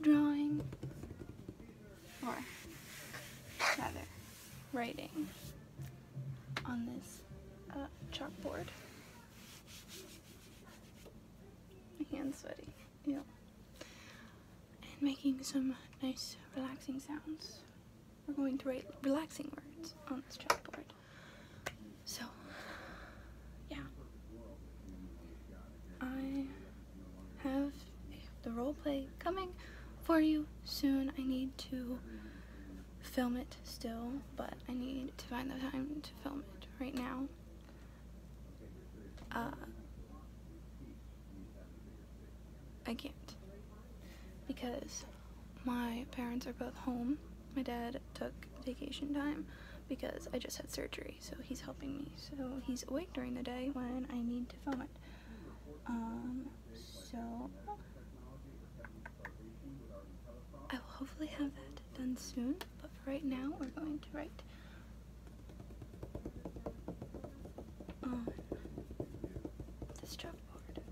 drawing, or rather, writing on this uh, chalkboard. My hand's sweaty. Ew. And making some nice relaxing sounds. We're going to write relaxing words on this chalkboard. So, yeah. I have the role play coming for you soon. I need to film it still, but I need to find the time to film it right now. Uh, I can't because my parents are both home. My dad took vacation time because I just had surgery, so he's helping me. So he's awake during the day when I need to film it. Um, so I will hopefully have that done soon, but for right now we're going to write this job. Lord.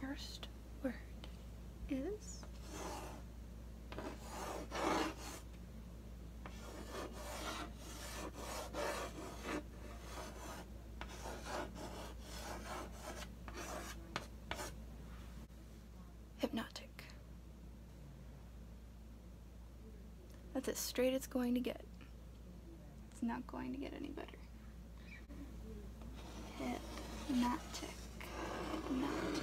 First word is hypnotic. That's as straight it's going to get. It's not going to get any better. Hypnotic. Hypnotic. Hypnotic.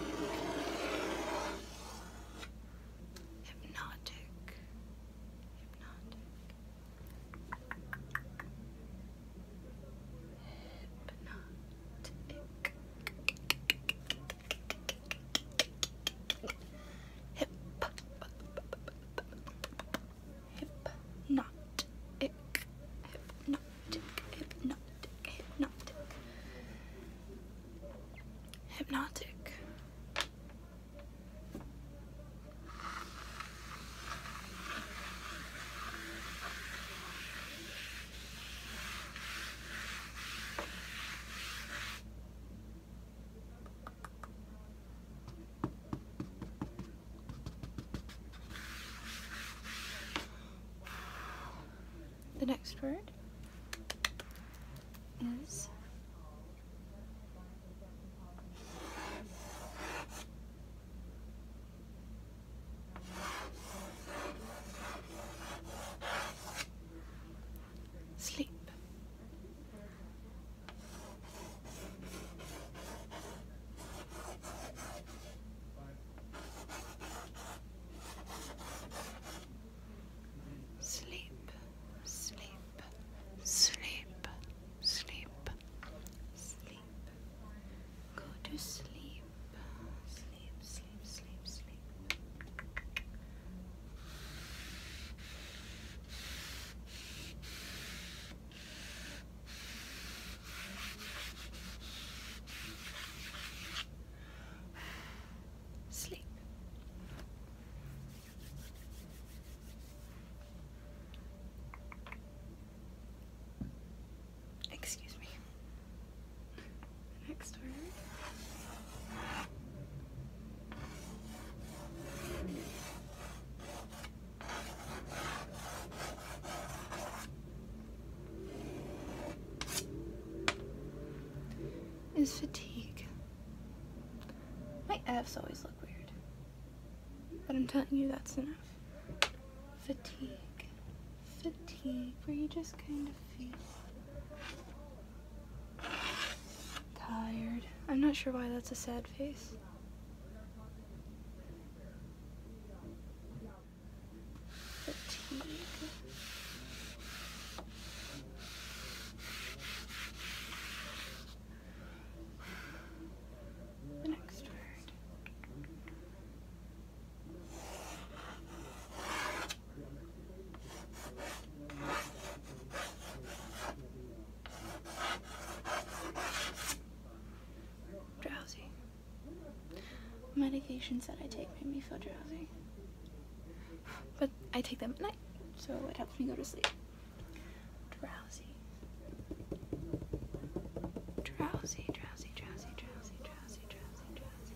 Hypnotic. Hypnotic. Hypnotic. Hypnotic. Hypnotic. Hypnotic. The next word is sleep. Sleep, sleep, sleep, sleep, sleep. Go to sleep. Sleep, sleep, sleep, sleep. Sleep. Excuse me. next word is fatigue. My F's always look weird. But I'm telling you that's enough. Fatigue. Fatigue, where you just kind of feel Tired. I'm not sure why that's a sad face. Fatigue. The next word. Drowsy. Medications that I take make me feel drowsy. But I take them at night, so it helps me go to sleep. Drowsy. Drowsy, drowsy, drowsy, drowsy, drowsy, drowsy,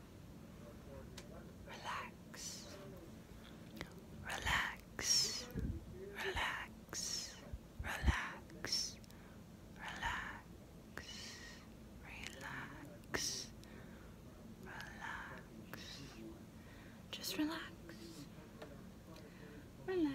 Relax. Relax. Relax. Relax. Relax. Relax. Relax. Just relax. Relax.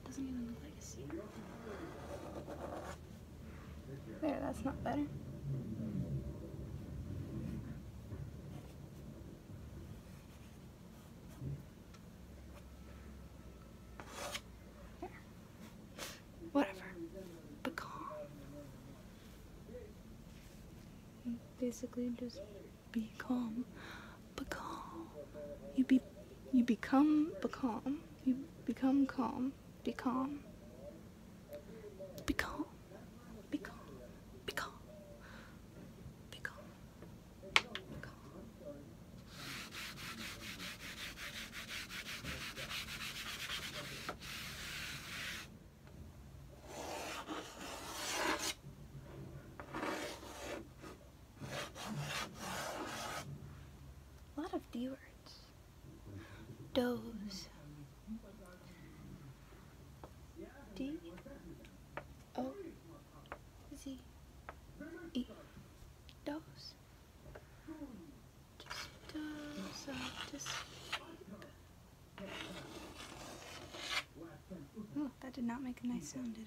It doesn't even look like a cedar. There, that's not better. There. Whatever. Pecan. Basically, just be calm. Be calm. You be you become becalm. You become Be calm. Be calm. Be calm. Be calm. Be calm. Be calm. Be calm. A lot of D words. Doze. D. O. Z. E. Doze. Hmm, that did not make a nice sound, did it?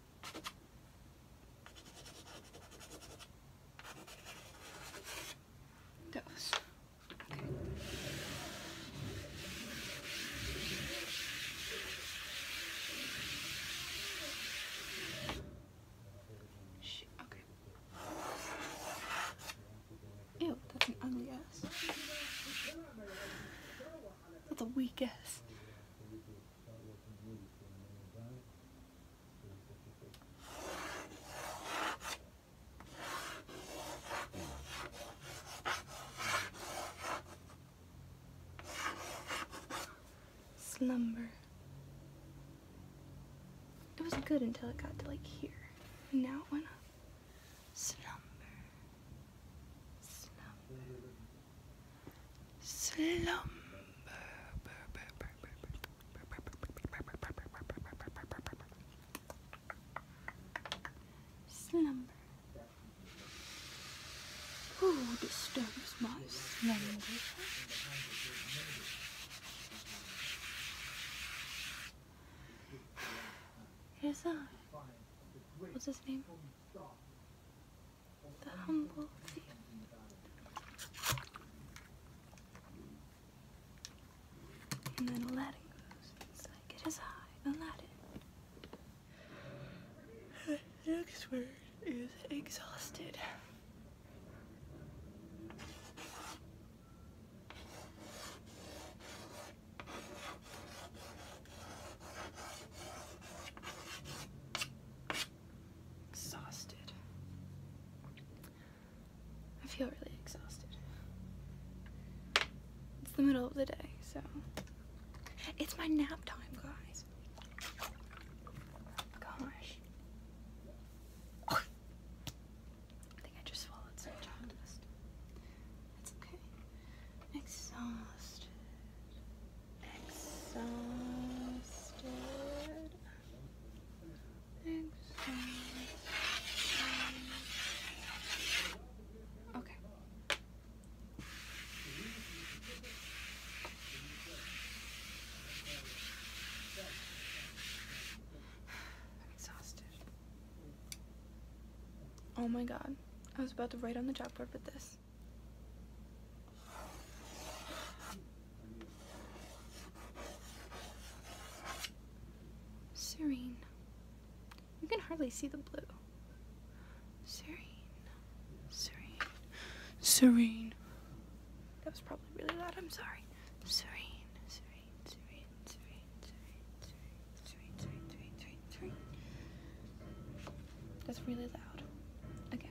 Those. Okay. Shit, okay. Ew, that's an ugly ass. That's a weak ass. Slumber. It was good until it got to like here. And now it went up. Slumber. Slumber. Slumber. Slumber. Who disturbs my slumber? It is I. What's his name? the humble few. And then Aladdin goes, it's like it is I, Aladdin. The next word is exhausted exhausted. I feel really exhausted. It's the middle of the day, so. It's my nap time, guys. Gosh. I think I just swallowed some chocolate It's okay. exhausted. Exhausted. Exhausted. Okay. I'm exhausted. Oh my god. I was about to write on the chalkboard with this. Serene. You can hardly see the blue. Serene. Serene. Serene. That was probably really loud. I'm sorry. Serene. Serene. Serene. Serene. Serene. Serene. Serene. Serene. Serene. Serene. That's really loud.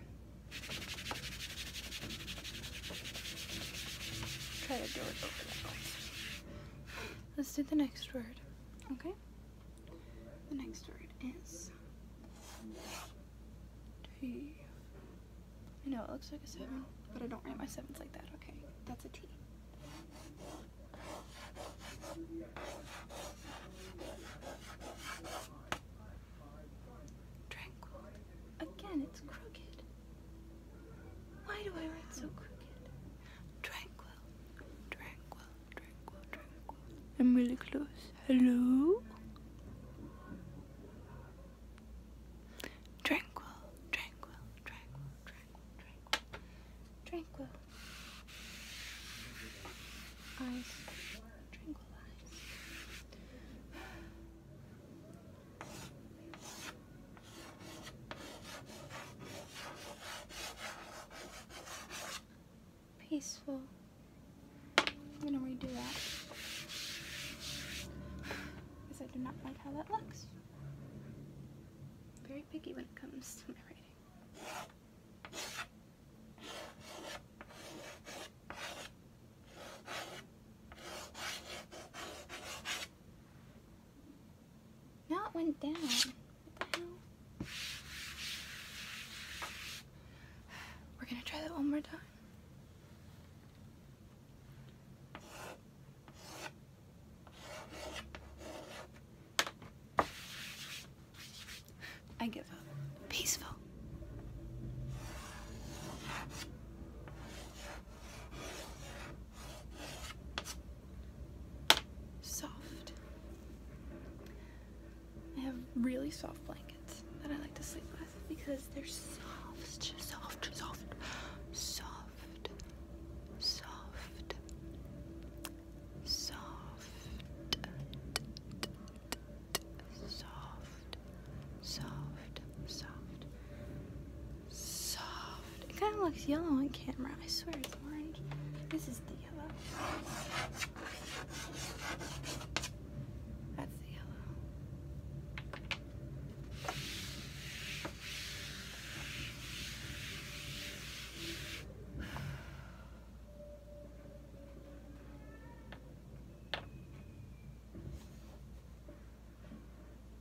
Let's do the next word. Okay? The next word is T. I know it looks like a seven, but I don't write my sevens like that. Okay, that's a T. Tranquil. Again, it's crooked. Why do I write so crooked? Tranquil. Tranquil. Tranquil. Tranquil. I'm really close. Hello? Tranquil. Tranquil. Tranquil. Tranquil. Tranquil. Tranquil. Peaceful. I'm gonna redo that. Because I do not like how that looks. very picky when it comes to my writing. Now it went down. We're gonna try that one more time. I give up. Peaceful. Soft. I have really soft blankets that I like to sleep with because they're soft, soft, soft, soft, soft, soft, soft, soft, soft, soft. It kind of looks yellow on camera. I swear it's orange. This is the yellow. That's the yellow.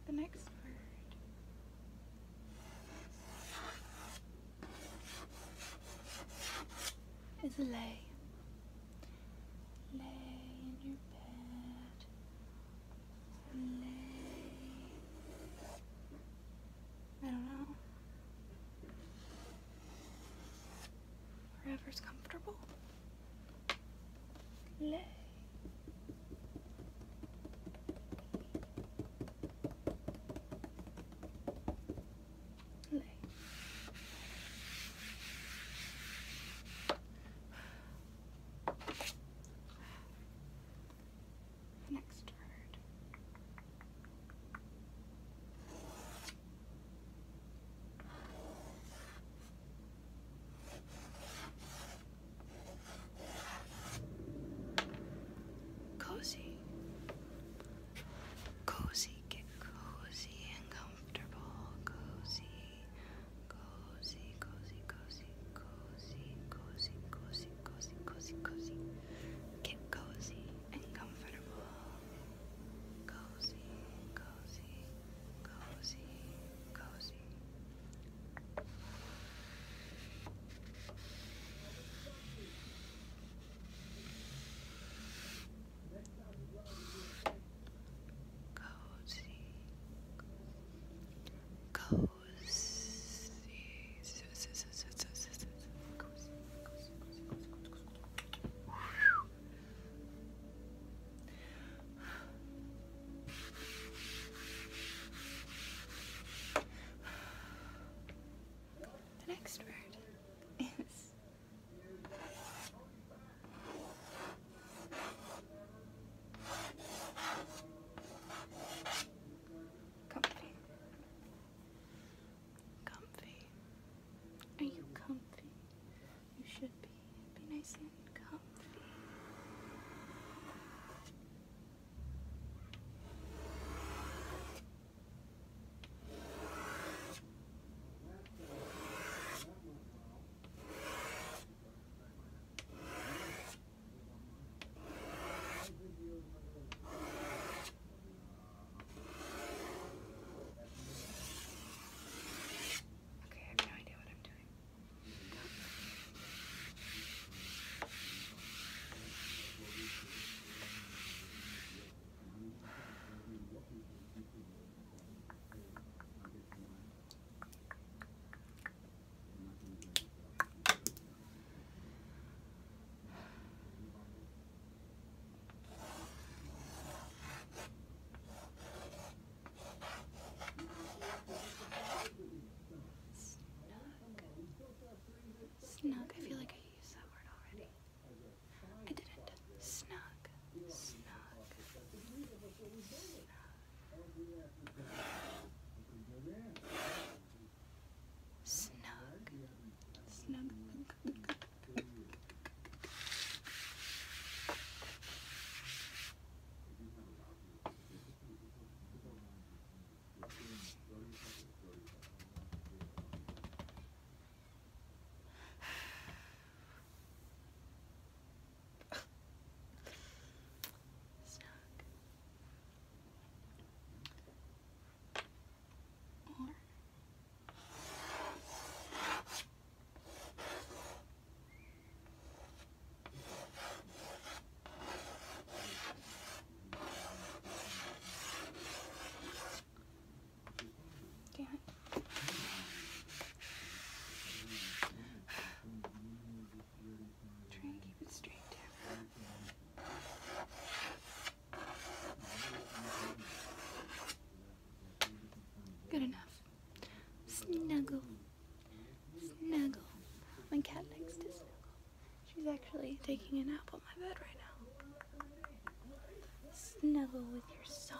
The next word is lay. Lay in your bed. Lay. I don't know. Wherever's comfortable. Lay. Lay. Next word. Cozy. Cozy, get cozy and comfortable. Cozy, cozy, cozy, cozy, cozy, cozy, cozy, cozy, cozy, cozy. Get cozy and comfortable. cozy, cozy, cozy. Cozy, cozy, cozy, the next word is comfy. Comfy. Are you comfy? You should be. Be nice and comfy. Okay, I have no idea what I'm doing. Snug. I feel like I used that word already. I didn't. Snug. Snug. Snug. Snug. Snug. Trying to keep it straight down. Good enough. Snuggle. Snuggle. My cat next to snuggle. She's actually taking a nap on my bed right now. Snuggle with your soft.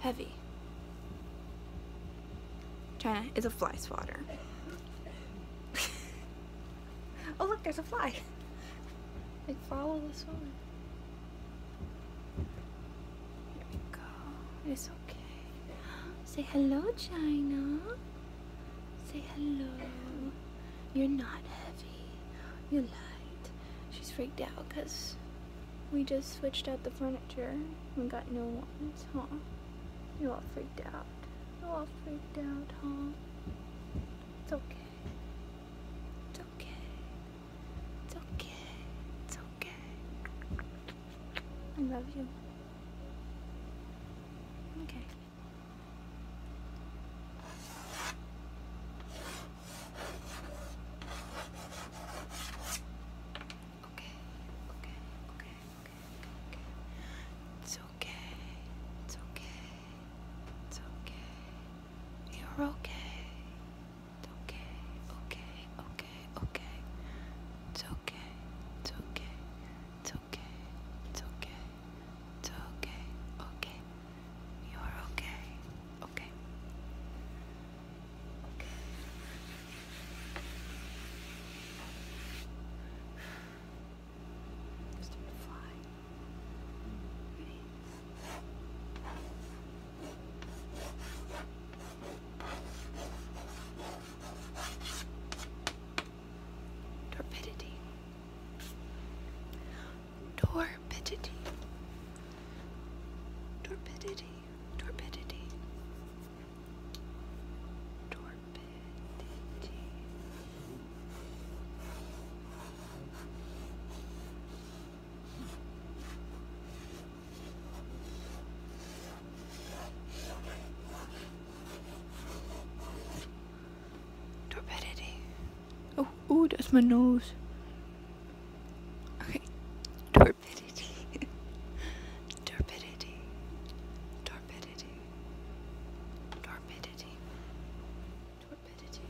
heavy. China is a fly swatter. oh look, there's a fly. I follow this one. There we go. It's okay. Say hello, China. Say hello. You're not heavy. You're light. She's freaked out because we just switched out the furniture We got new ones, huh? You all freaked out. You all freaked out, huh? It's okay. It's okay. It's okay. It's okay. I love you. Okay. Okay, okay, okay, okay, okay, It's okay, it's okay, it's okay. You're okay. It's okay, okay, okay, okay. It's okay, it's okay, it's okay, it's okay, it's okay, okay. You're okay, Okay. Okay. Just to fly. Ready? Torpidity. Torpidity. Torpidity. Torpidity. Torpidity. Torpidity. Oh, oh, that's my nose. Okay. Torpidity. Torpidity. Torpidity. Torpidity. Torpidity.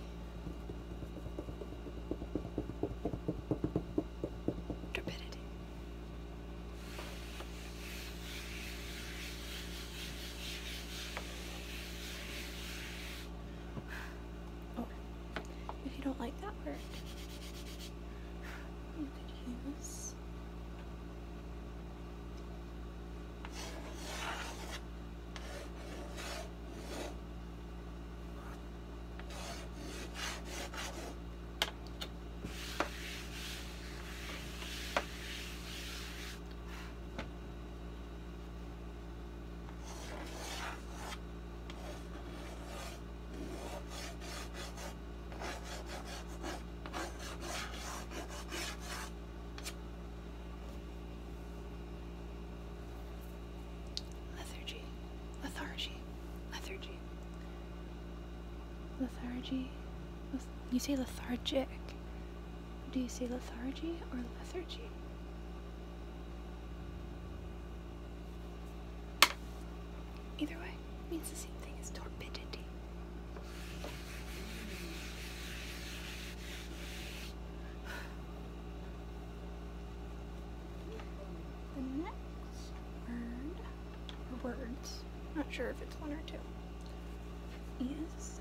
Torpidity. If you don't like that word, you could use. Lethargy, lethargy, lethargy, lethargy. You say lethargic. Do you say lethargy or lethargy? Either way, means the same thing as torpidity. The next word, or words, not sure if it's one or two, is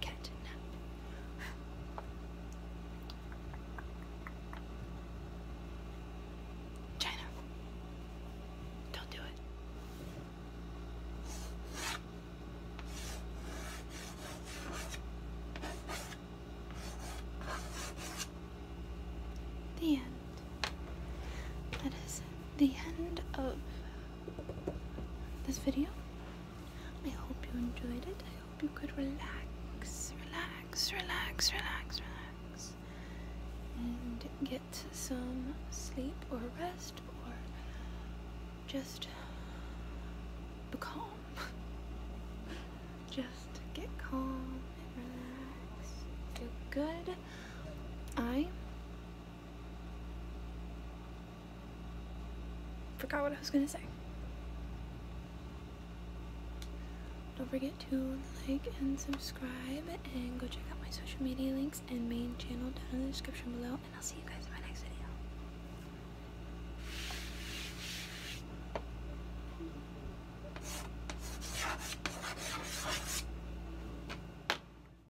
Cat nap. China. Don't do it. The end. That is the end of this video. I hope you enjoyed it. I hope you could relax, relax, relax, relax, relax, and get some sleep or rest or just be calm. just get calm and relax. Feel good. I Forgot what I was gonna say. Don't forget to like and subscribe and go check out my social media links and main channel down in the description below and I'll see you guys in my next video.